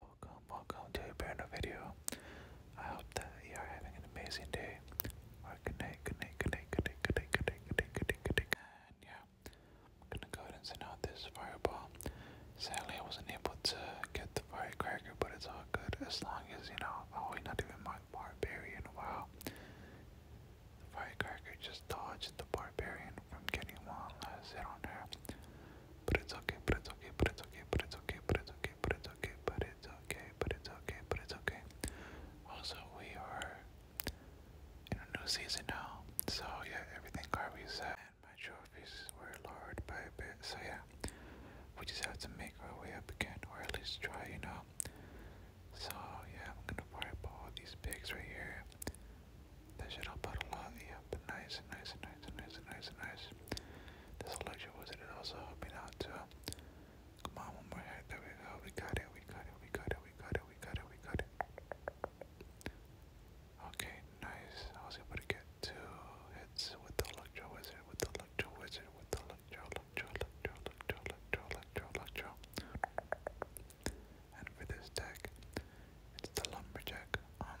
Welcome, welcome to a brand video. I hope that you are having an amazing day. good night, good night, good night, good night, good night, good night, good night, good night, good night. yeah, gonna go ahead and send out this fireball. Sadly, I wasn't able to get the firecracker, but it's all good as long as you know. Oh, we not even my barbarian. Wow, the firecracker just dodged the barbarian from getting one last hit on her. But it's okay, but it's okay, but it's okay, but it's okay, but it's okay, but it's okay, but it's okay, but it's okay, but it's okay. Also, we are in a new season now. So yeah, everything Carvey said and my trophies were lowered by a bit. So yeah, we just have to make our way up again, or at least try, you know. So yeah, I'm gonna fireball these pigs right here. That should help out a lot. Yep, nice, nice, nice nice, nice, nice, nice. This electric wizard is also helping out Come on, one more hit. There we go. We got it. We got it. We got it. We got it. We got it. We got it. Okay, nice. I was able to get two hits with the electro wizard. With the electro wizard. With the electro, electro, electro, electro, electro, electro, electro. And for this deck, it's the lumberjack. Um,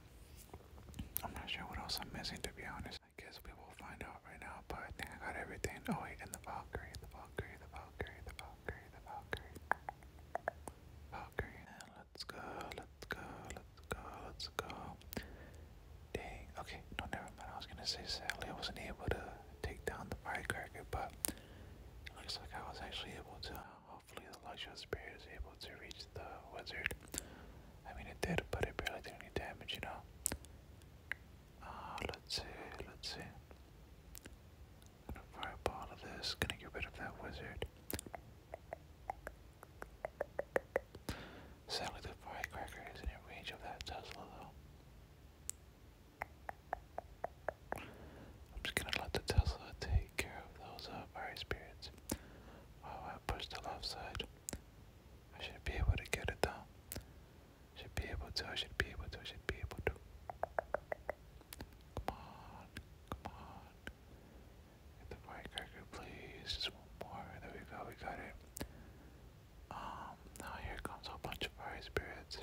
I'm not sure what else I'm missing to be honest. I guess we will find out right now, but I think I got everything. Oh wait, and the Valkyrie, the Valkyrie, the Valkyrie, the Valkyrie, the Valkyrie. Valkyrie. And let's go, let's go, let's go, let's go. Dang, okay, no never mind. I was gonna say sadly I wasn't able to take down the firecracker, but it looks like I was actually able to. Oh hopefully the Luxury Spirit is able to reach the wizard. I mean it did, but it barely did any damage, you know. Uh let's see, let's see. Gonna fireball to this, gonna get rid of that wizard. Sadly the firecracker is in range of that Tesla though. I'm just gonna let the Tesla take care of those uh, fire spirits. Oh, I pushed the left side. I should be able to get it down. Should be able to, I should be able to, I should be able to. Come on, come on. Get the firecracker, please. Just one more. There we go, we got it. Um, now here comes a bunch of fire spirits.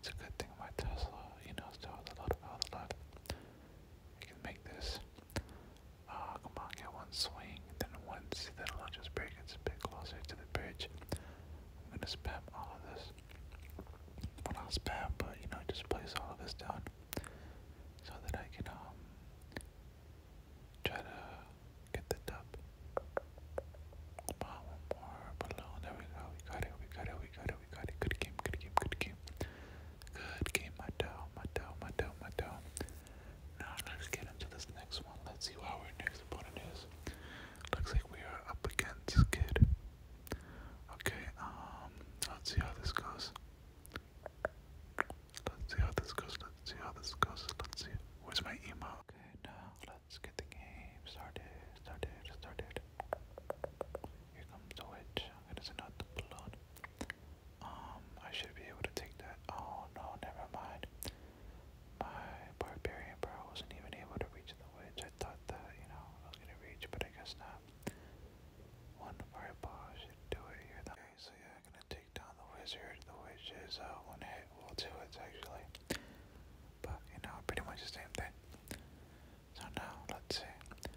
It's a good thing my Tesla, you know, still a lot of out of luck. can make this. Ah, oh, come on, get one swing, then once, then I'll just break it a bit closer to the bridge. I'm gonna spam all of this. not spam, but you know, just place all of this down so that I can, um, try to get the dub. Come on, more balloon. There we go, we got it, we got it, we got we got it. Good game, good game, good game. Good game, my doll, my doll, my doll, my doll. Now let's get into this next one. Let's see who our next opponent is. Looks like we are up against Kid. Okay, um, let's see how this goes. Let's see how this goes. Let's see how this goes. Let's see. Where's my email? Okay, now let's get the game started. Started. Started. Here comes the witch. I'm gonna send out the blood. Um, I should be able to take that. Oh no, never mind. My barbarian bro wasn't even able to reach the witch. I thought that, you know, I was gonna reach, but I guess not. One fireball should do it here. Okay, so yeah, I'm gonna take down the wizard. The witch is uh, one hit, well, two hits actually. But, you know, pretty much the same thing. So now, let's see.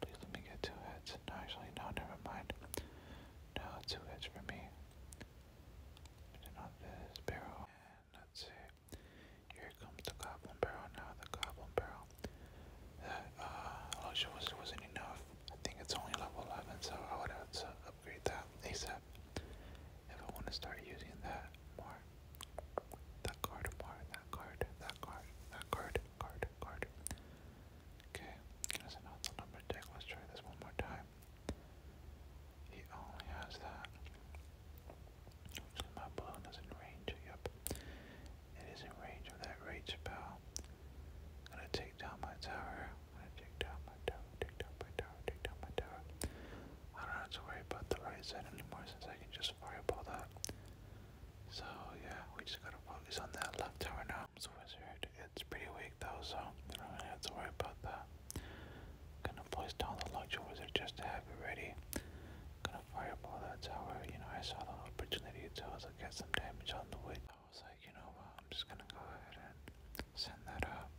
Please let me get two heads. No, actually, no, never mind. No, two heads for me. Put this barrel. And let Here comes the goblin barrel. Now the goblin barrel. That uh, luxury wasn't, enough. I think it's only level 11, so I would have to upgrade that ASAP. If I want to start using that more. That card more. That card. That card. That card. Card. Card. Okay, because I know it's a number deck. Let's try this one more time. He only has that. Actually, my balloon is in range. Yep. It is in range of that rage spell. I'm gonna take down my tower. I'm gonna take down my tower, take down my tower, take down my tower. I don't have to worry about the right side anymore since I can just fireball that. So yeah, we just gotta focus on that left tower now. So wizard, it's pretty weak though, so you don't have to worry about that. Gonna place down the luxury wizard just to have it ready. Gonna fireball that tower. You know, I saw the opportunity to get some damage on the witch. I was like, you know what, I'm just gonna go ahead and send that up.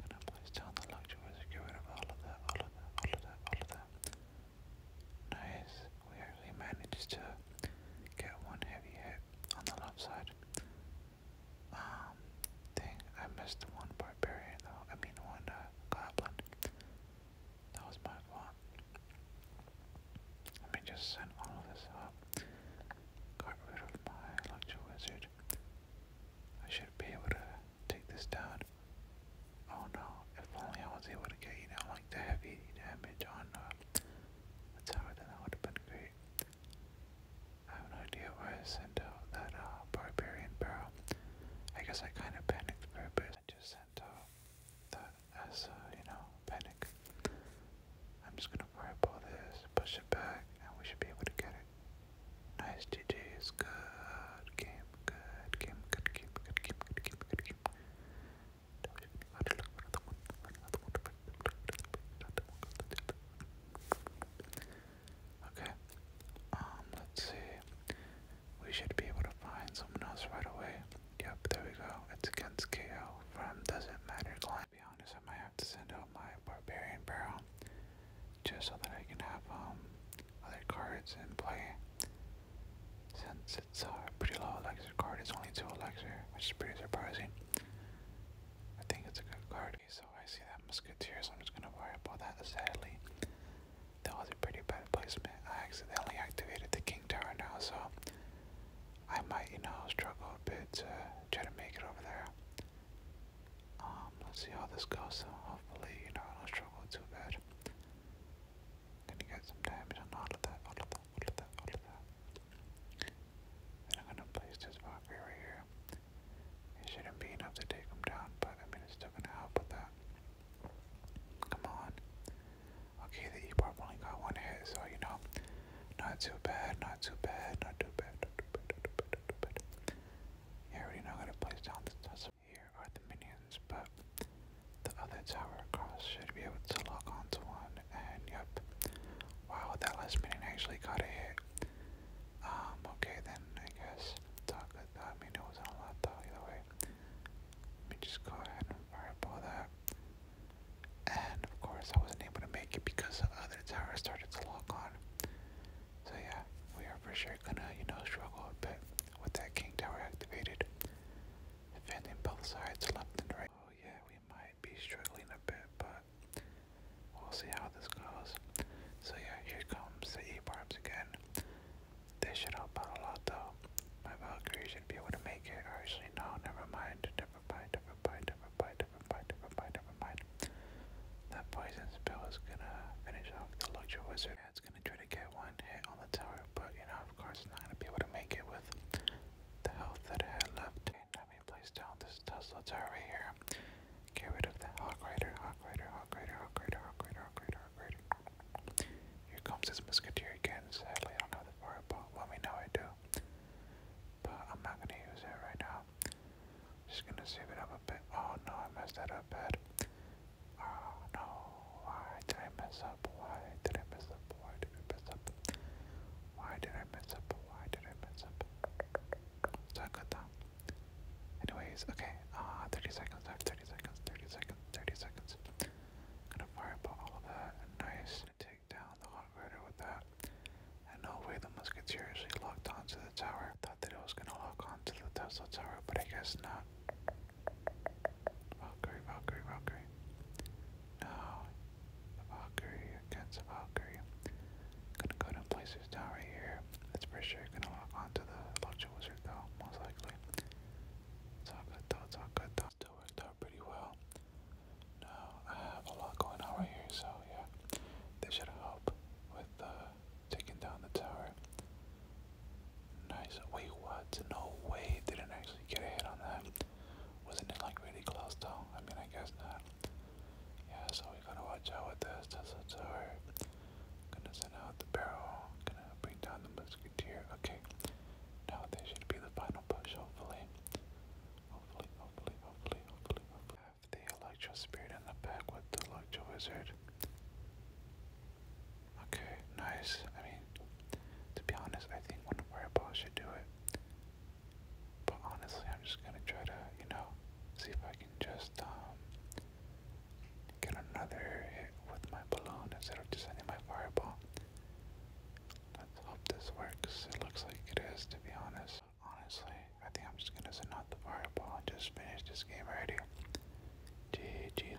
Gonna place down the luxury wizard, get rid of all of that, all of that, all of that, all of that. Nice. We actually managed to get one heavy hit on the left side. Um, dang, I missed one barbarian though. I mean one uh, goblin. That was my fault. Let me just send all of this up. Got rid of my lecture wizard. I should be able to take this down. Oh no, if only I was able to get you know like the heavy damage on uh, tower, then that would have been great. I have no idea why I sent out that uh, barbarian barrel. I guess I kind of panicked for a bit. I just sent out that as, uh, you know, panic. I'm just gonna fireball this, push it back, and we should be able to get it. Nice GG's, good game, good game, good game, good game, good game, good game. Okay. Um, let's see. We should be able to find someone else right away. Yep, there we go. It's against KO from Doesn't Matter Clan. be honest, I might have to send out my Barbarian Barrel just so that I can have um other cards and play since it's a uh, pretty low elixir card, it's only 2 elixir, which is pretty surprising. I think it's a good card. so I see that Musketeer, so I'm just gonna worry about that sadly. That was a pretty bad placement. I accidentally activated the King Tower now, so I might, you know, struggle a bit to try to make it over there. Um, let's see how this goes, so hopefully, you know, I don't struggle too bad gonna get some damage on all of that, all of that, all of that, all of that. Then I'm gonna place this Valkyrie right here. It shouldn't be enough to take him down, but I mean it's still gonna help with that. Come on. Okay, the E-Pop only got one hit, so you know, not too bad, not too bad, not too bad, not too bad, not too bad, not too bad. Not too bad. Yeah, already know I'm gonna place down this tussle here are the minions, but the other tower across should be able to lock onto one, and yep. Wow, that last minion actually got a hit. Um, okay then, I guess. Talk good, I mean, it wasn't a lot though, either way. Let me just go ahead and fireball that. And of course, I wasn't able to make it because the other tower started to lock on. So yeah, we are for sure gonna, you know, struggle a bit with that king tower activated defending both sides left and right. Oh yeah, we might be struggling a bit, but we'll see how this goes. So yeah, here comes the e bombs again. They should help out a lot though. My Valkyrie should be able to make it. actually, no, never mind. Never mind, never mind, never mind, never mind, never mind, That poison spell is gonna finish off the Luxury Wizard. Dad's gonna try to get one hit on the tower, but you know, of course, it's not gonna be able to make it with the health that I had left. let me place down this Tesla tower right here. Get rid of the Hawk Rider, Hawk Rider, Hawk Rider, Hawk Rider, Hawk Rider, Hawk Rider, Hawk Rider. Here comes this Musketeer again. Sadly, I don't have the fireball. Well, we know I do. But I'm not gonna use it right now. Just gonna save it up a bit. Oh no, I messed that up bad. Oh no, why did I mess up? Why did I mess up? Why did I mess up? Why did I mess up? Why did I mess up? So I got Anyways, okay, uh, 30 seconds left, 30 seconds, 30 seconds, 30 seconds. Gonna fireball all of that, nice, and take down the hot rider with that. And no way the musketeers actually locked onto the tower. I Thought that it was gonna lock onto the Tesla tower, but I guess not. Valkyrie, Valkyrie, Valkyrie. No, Valkyrie against Valkyrie. Gonna go to place down right here. That's for sure gonna lock onto the Lucha Wizard though, most likely. It's all good though, it's all good pretty well. Now I have a lot going on right here, so yeah. This should help with uh, taking down the tower. Nice. Wait, what? No way. Didn't actually get a hit on that. Wasn't it like really close though? I mean, I guess not. Yeah, so we gotta watch out with this. That's a tower. Gonna send out the barrel. Gonna bring down the musketeer. Okay. Now this should be the final push, hopefully. Hopefully, hopefully, hopefully, hopefully, hopefully. Have the Electro Spirit in the back with the Electro Wizard. Okay, nice. I mean, to be honest, I think one of should do it. But honestly, I'm just gonna try to, you know, see if I can just um get another hit with my balloon instead of just my fireball. Let's hope this works. It looks like it is, to be honest. Honestly, I think I'm just gonna send out the fireball just finish this game already. GG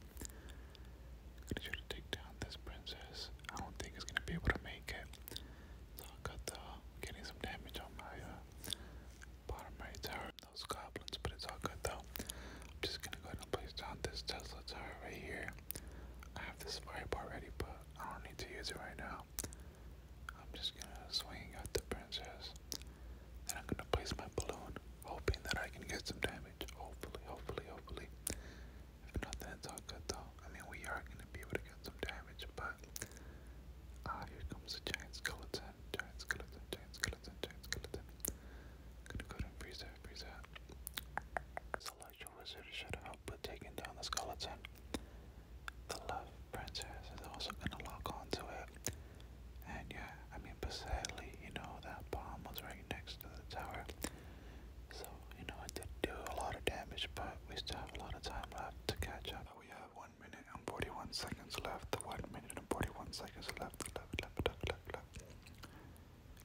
I'm gonna try to take down this princess. I don't think it's gonna be able to make it. So I got the getting some damage on my uh, bottom right tower, those goblins, but it's all good though. I'm just gonna go and place down this Tesla tower right here. I have this fireball ready, but I don't need to use it right now. I'm just gonna swing at the princess. Then I'm gonna place my balloon, hoping that I can get some damage. Hopefully, hopefully, hopefully. If not, then it's all good though. I mean, we are gonna be able to get some damage, but ah, here comes the giant skeleton, giant skeleton, giant skeleton, giant skeleton. I'm gonna go ahead and freeze that, freeze that. Celestial wizard should help with taking down the skeleton. The love princess is also gonna lock onto it. And yeah, I mean, but sadly, you know, that bomb was right next to the tower. So, you know, it did do a lot of damage, but we still have a lot of time left to catch up. We have 1 minute and 41 seconds left. 1 minute and 41 seconds left, left, left, left, left, left.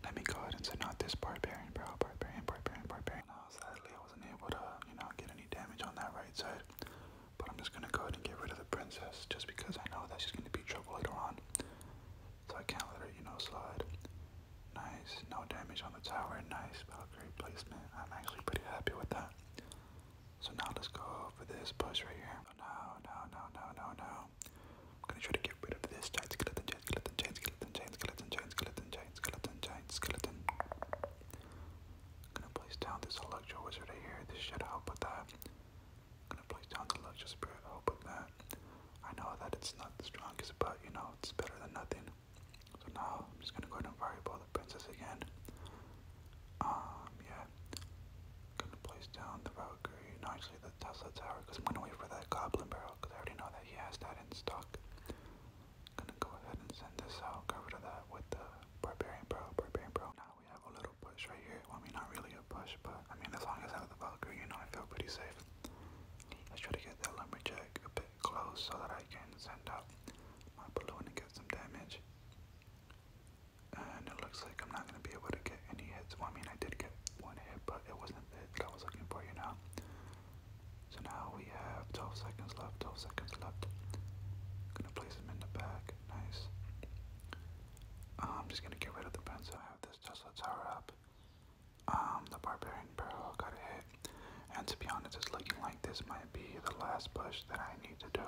Let me go ahead and say, not this barbarian, bro. Barbarian, barbarian, barbarian. Now, sadly, I wasn't able to, you know, get any damage on that right side. But I'm just gonna go ahead and get rid of the princess just because I know that she's gonna be trouble later on down. So I can't let her, you know, slide. Nice, no damage on the tower, nice Valkyrie placement. I'm actually pretty happy with that. So now let's go for this push right here. No, no, no, no, no, no. I'm gonna try to get rid of this giant skeleton, giant skeleton, giant skeleton, giant skeleton, giant skeleton, giant skeleton, giant skeleton. I'm gonna place down this electro wizard right here. This should help with that. I'm gonna place down the Luxury Spirit, I hope with that. I know that it's not the strongest, but you know, it's better than nothing. So now I'm just gonna go ahead and fireball the princess again. Um, yeah. Gonna place down the Valkyrie, no, the Tesla Tower, I'm gonna wait for that Goblin Barrel, I already know that he has that in stock. Gonna go ahead and send this out, cover that with the Barbarian Barrel, Barbarian Barrel now we have a little push right here. Well, I mean, not really a push, but I mean, as long as I have the Valkyrie, you know, I feel pretty safe. Let's try to get that Lumberjack a bit close so that I can send up my balloon and get some damage. And it looks like I'm not going to be able to get any hits. I mean, I did get one hit, but it wasn't the hit I was looking for, you know. So now we have 12 seconds left, 12 seconds left. Gonna place him in the back, nice. Oh, I'm just gonna get rid of the pencil. I have this Tesla tower up. Um, the Barbarian Pearl got hit. And to be honest, it's looking like this might be the last push that I need to do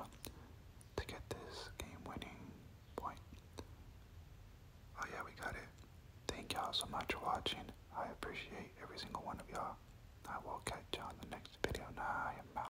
to get this game winning point. Oh yeah, we got it. Thank y'all so much for watching. I appreciate every single one of y'all. I will catch y'all in the next video. Now I am out.